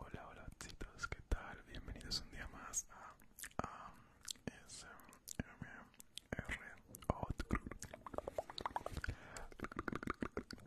Hola, hola chicos, ¿qué tal? Bienvenidos un día más a ASMR Outgroup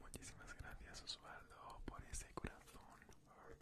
Muchísimas gracias Osvaldo por ese corazón.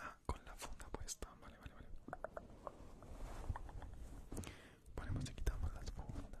Ah, con la funda puesta, vale, vale, vale. Ponemos y quitamos las fundas.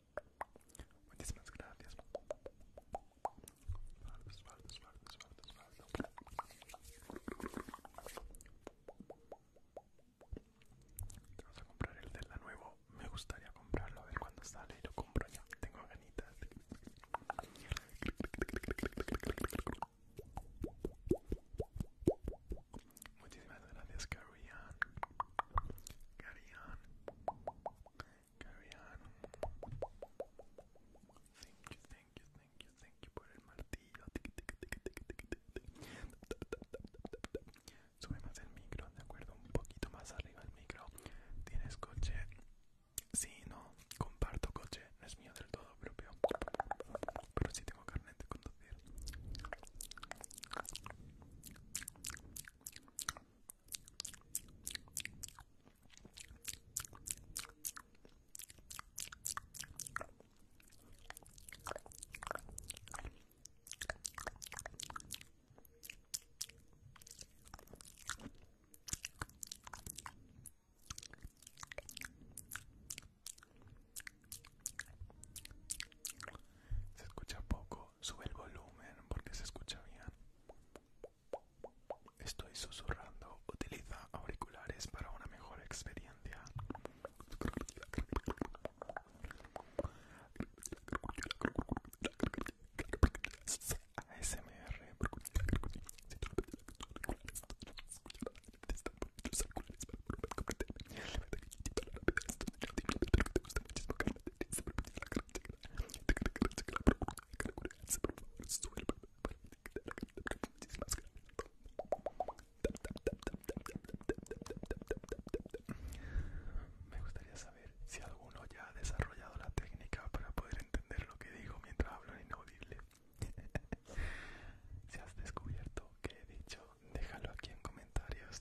Muchísimas gracias. Vamos a comprar el de la nuevo. Me gustaría comprarlo, a ver cuándo sale y lo compro ya. Tengo ganitas. Muchísimas gracias, Carian. Carian carry on. Thank you, thank you, thank you, thank you por el martillo. Sube más el micro, de acuerdo, un poquito más arriba el micro. ¿Tienes coche? Sí, no, comparto coche, no es mío del todo propio. Pero sí tengo carnet de conducir. Se escucha poco, sube el volumen porque se escucha bien. Estoy susurrando, utiliza auriculares para una mejor experiencia. ASMR. Me gustaría saber si alguno ya ha desarrollado la técnica para poder entender lo que digo mientras hablo en inaudible. si has descubierto que he dicho, déjalo aquí en comentarios.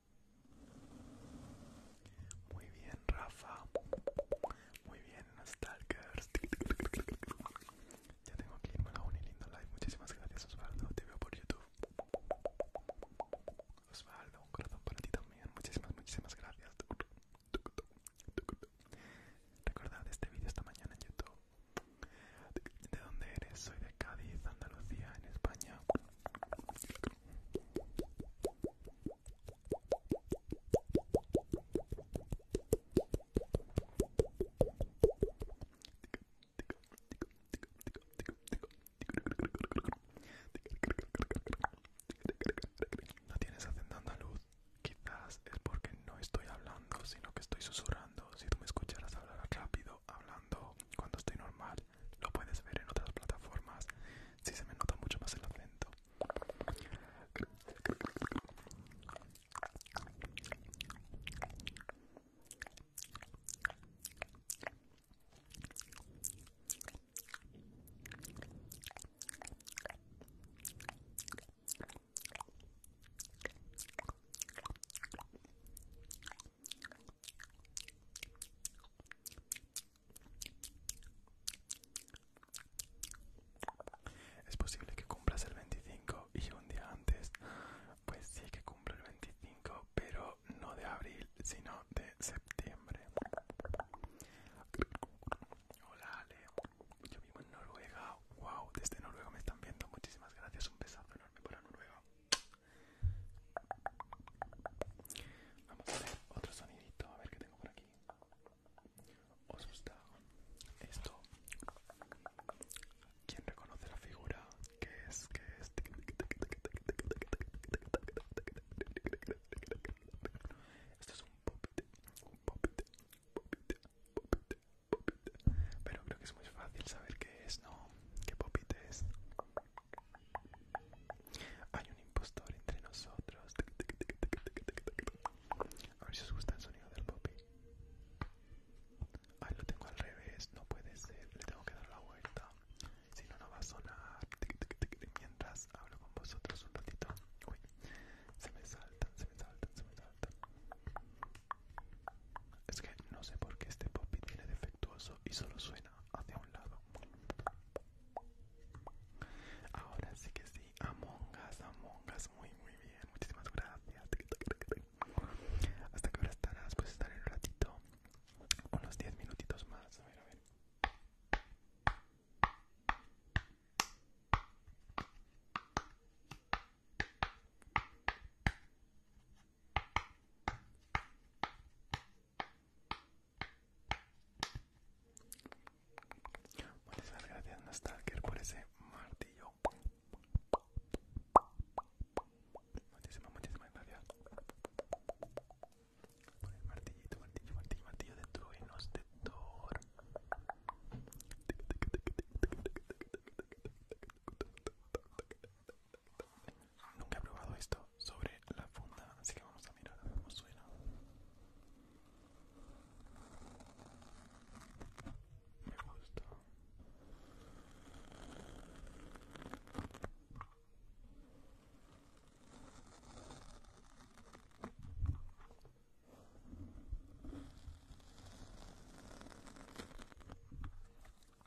Muy bien, Rafa. Muy bien, Stalkers. Ya tengo aquí un a y lindo live. Muchísimas gracias, Osvaldo. Te veo por YouTube. Osvaldo, un corazón para ti también. Muchísimas, muchísimas gracias. Recordad, este vídeo esta mañana en YouTube. ¿De dónde eres? Soy de Cádiz, Andalucía, en España. No tienes a luz, Quizás es porque no estoy hablando, sino que estoy susurrando. Si tú me escucharas hablar rápido, hablando cuando estoy normal, lo puedes ver en otras plataformas. Si se me nota mucho más el acento. Es posible que cumplas el 25 y un día antes. Pues sí que cumplo el 25, pero no de abril, sino de septiembre. Hola Ale, yo vivo en Noruega. Wow, desde Noruega me están viendo. Muchísimas gracias, un besazo enorme para Noruega. Vamos a ver otro sonidito, a ver qué tengo por aquí. ¿Os gusta esto? ¿Quién reconoce la figura? ¿Qué es? ¿Qué es? Esto es un popite un Pero creo que es muy fácil saber qué es, ¿no? ¿Qué popite es? Hay un impostor entre nosotros. A ver si os gusta el sonido del popi. Ahí lo tengo al revés, no puede ser. Le tengo que dar la vuelta. Si no, no va a sonar. Mientras hablo con vosotros un ratito. Uy, se me saltan, se me saltan, se me salta Es que no sé por qué este popi tiene defectuoso y solo suena hacia un lado. Ahora sí que sí, Amongas, amongas muy muy bien, muchísimas gracias. ¿Hasta que ahora estarás? Pues estaré un ratito, unos 10 minutitos más. A ver, a ver. Muchísimas gracias Nostalker por ese martillo. Muchísimas, muchísimas gracias. Por el martillito, martillo, martillo, martillo de truenos de Thor. Nunca he probado esto sobre la funda, así que vamos a mirar a ver cómo suena. Me gusta.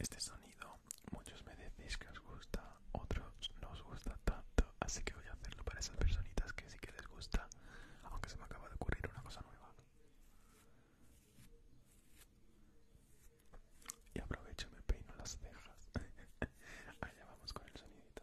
Este sonido muchos me decís que os gusta, otros no os gusta tanto, así que voy a hacerlo para esas personitas que sí que les gusta, aunque se me acaba de ocurrir una cosa nueva. Y aprovecho y me peino las cejas. Allá vamos con el sonidito.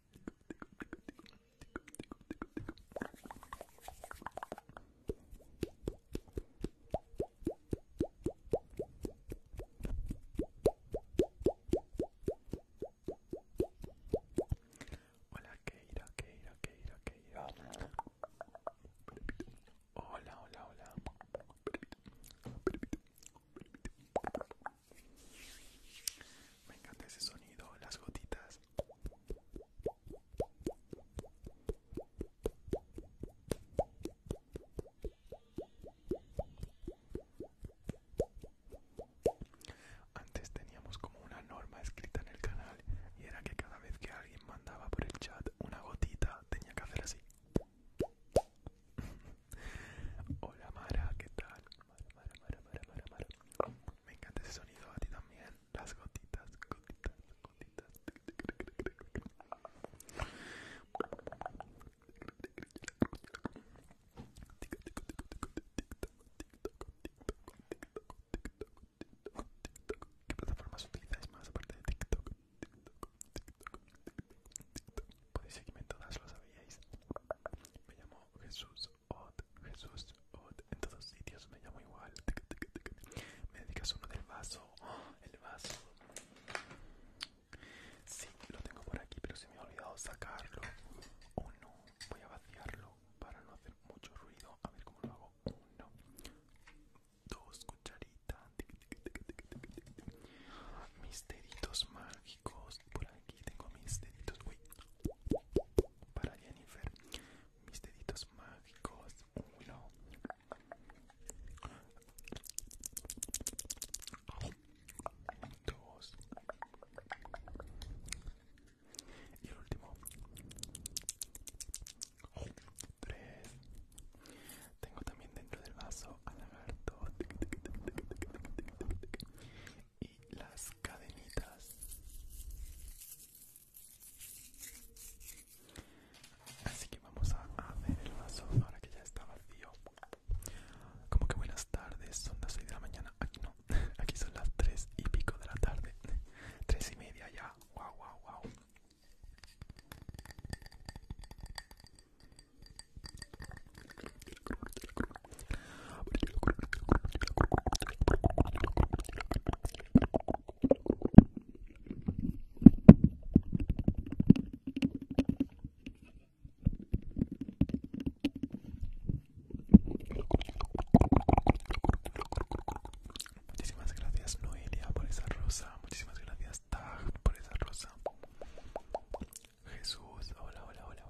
Hola Keira, Keira, Keira, Keira. Hola, hola, hola. Me encanta ese sonido, las gotitas. Antes teníamos como una norma escrita en el canal y era que cada vez que alguien mandaba por el chat una gotita tenía que hacer así. Hola Mara, ¿qué tal? Me encanta ese sonido a ti también las gotitas, gotitas, gotitas. ¿Qué plataformas utilizáis más aparte de TikTok? Podéis seguirme todas, lo sabíais. Me llamo Jesús Jesús, en todos sitios me llamo igual. Me dedicas uno del vaso, el vaso. Sí, lo tengo por aquí, pero se me ha olvidado sacarlo. Uno, voy a vaciarlo para no hacer mucho ruido. A ver cómo lo hago. Uno, dos cucharitas. Mis mágicos. Por aquí tengo mis deditos para Jennifer mis deditos mágicos uno dos y el último tres tengo también dentro del vaso al lagarto y las cadenitas Así que vamos a hacer el vaso ahora que ya está vacío. Como que buenas tardes, son las 6 de la mañana. Aquí no, aquí son las 3 y pico de la tarde. 3 y media ya. Wow, wow, wow. Muchísimas gracias Noelia por esa rosa, muchísimas gracias Tag por esa rosa. Jesús, hola, hola, hola,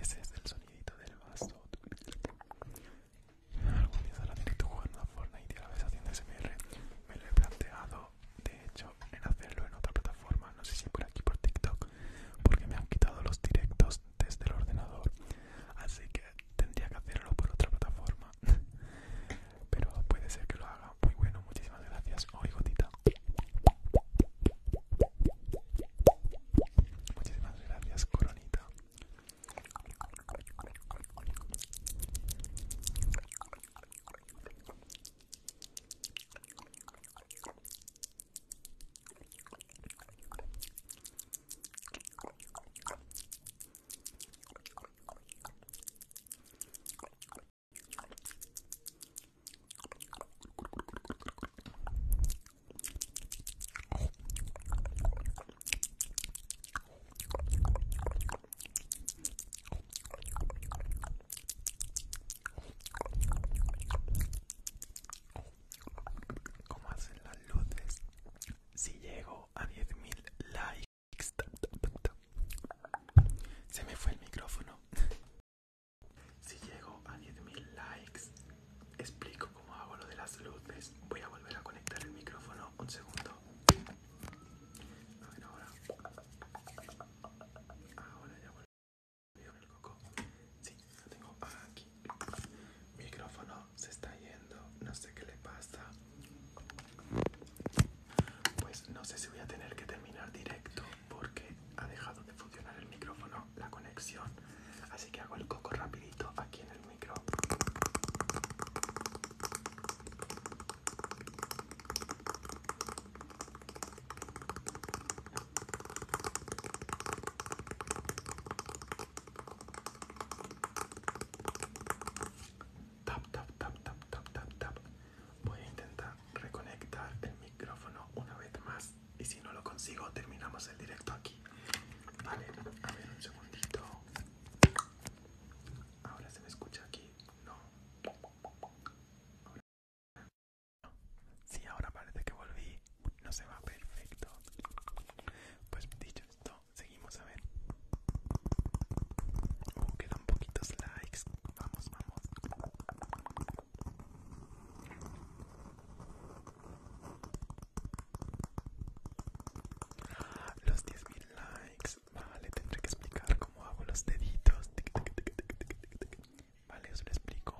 Ese es el sonidito del vaso. Algún día ahora que tú jugando a Fortnite y a la vez haciendo SMR. Me lo he planteado, de hecho, en hacerlo en otra plataforma. No sé si por aquí por TikTok, porque me han quitado los directos desde el ordenador. Así que tendría que hacerlo por otra plataforma. Pero puede ser que lo haga. Muy bueno, muchísimas gracias. Oigotita Muchísimas gracias, coronita. ¿Cómo hacen las luces? Si llego a 10.000 likes se me fue el micrófono. Si llego a 10.000 likes, explico cómo hago lo de las luces. Voy a volver a conectar el micrófono un segundo. A ver ahora. Ahora ya ver el coco. Sí, lo tengo aquí. Micrófono se está yendo, no sé qué le pasa. Pues no sé si voy a tener que terminar directo porque ha dejado de funcionar el micrófono, la conexión. Así que hago el coco rapidito aquí en el micro tap tap tap tap tap tap tap voy a intentar reconectar el micrófono una vez más y si no lo consigo terminamos el directo aquí vale a ver un segundito ahora se me escucha aquí no Si ahora parece que volví. No se va perfecto. Pues dicho esto, seguimos a ver. Oh, quedan poquitos likes. Vamos, vamos. Los 10.000 likes. Vale, tendré que explicar cómo hago los deditos. Vale, os lo explico.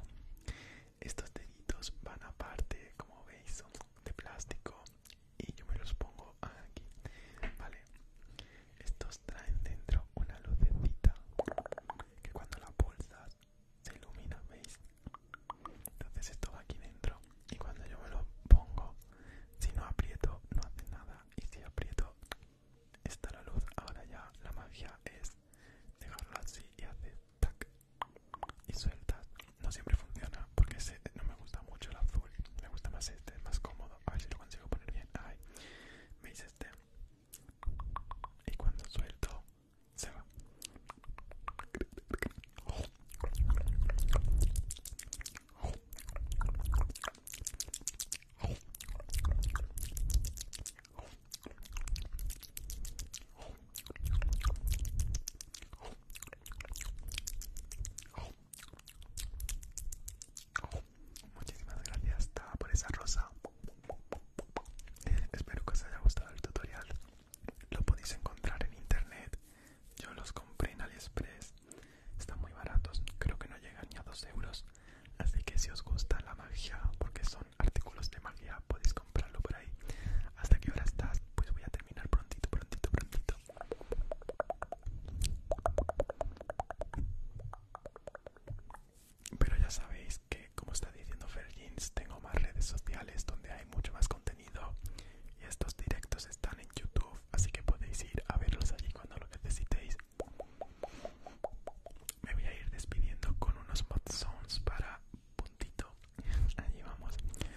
Estos deditos van aparte, como veis, son de plástico y yo me los pongo aquí vale estos traen dentro una lucecita que cuando la pulsas se ilumina veis entonces esto va aquí dentro y cuando yo me lo pongo si no aprieto no hace nada y si aprieto está la luz ahora ya la magia es dejarlo así y hace tac y suelta no siempre funciona porque no me gusta mucho el azul me gusta más este es más cómodo a ver si lo consigo poner bien ay me hice este y cuando suelto se va Muchísimas gracias por esa rosa. Eh, espero que os haya gustado el tutorial. Lo podéis encontrar en internet. Yo los compré en Aliexpress. Están muy baratos. Creo que no llegan ni a 2 euros. Así que si os gusta la magia, porque son artículos de magia, podéis comprarlo por ahí. ¿Hasta que ahora estás? Pues voy a terminar prontito, prontito, prontito. Pero ya sabéis que, como está diciendo Ferjins, tengo más redes sociales donde hay mucho más contenido y estos directos están en YouTube, así que podéis ir a verlos allí cuando lo necesitéis. Me voy a ir despidiendo con unos mod para puntito. Allí vamos.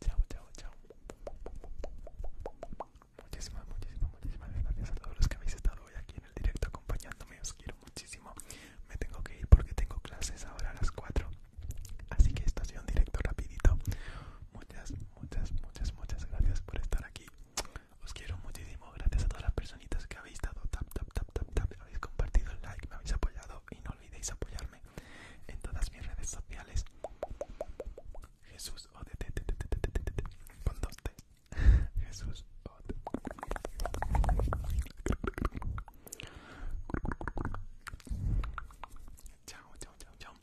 Chao, chao, chao. Muchísimas, muchísimas, muchísimas gracias a todos los que habéis estado hoy aquí en el directo acompañándome. Os quiero muchísimo. Me tengo que ir porque tengo clases ahora a las 4. Así que esto ha sido un directo rapidito. Muchas, muchas, muchas, muchas gracias por estar aquí. Os quiero muchísimo. Gracias a todas las personitas que habéis estado tap, tap, tap, tap. Habéis compartido el like, me habéis apoyado y no olvidéis apoyarme en todas mis redes sociales. Jesús Jesús chao, chao, chao.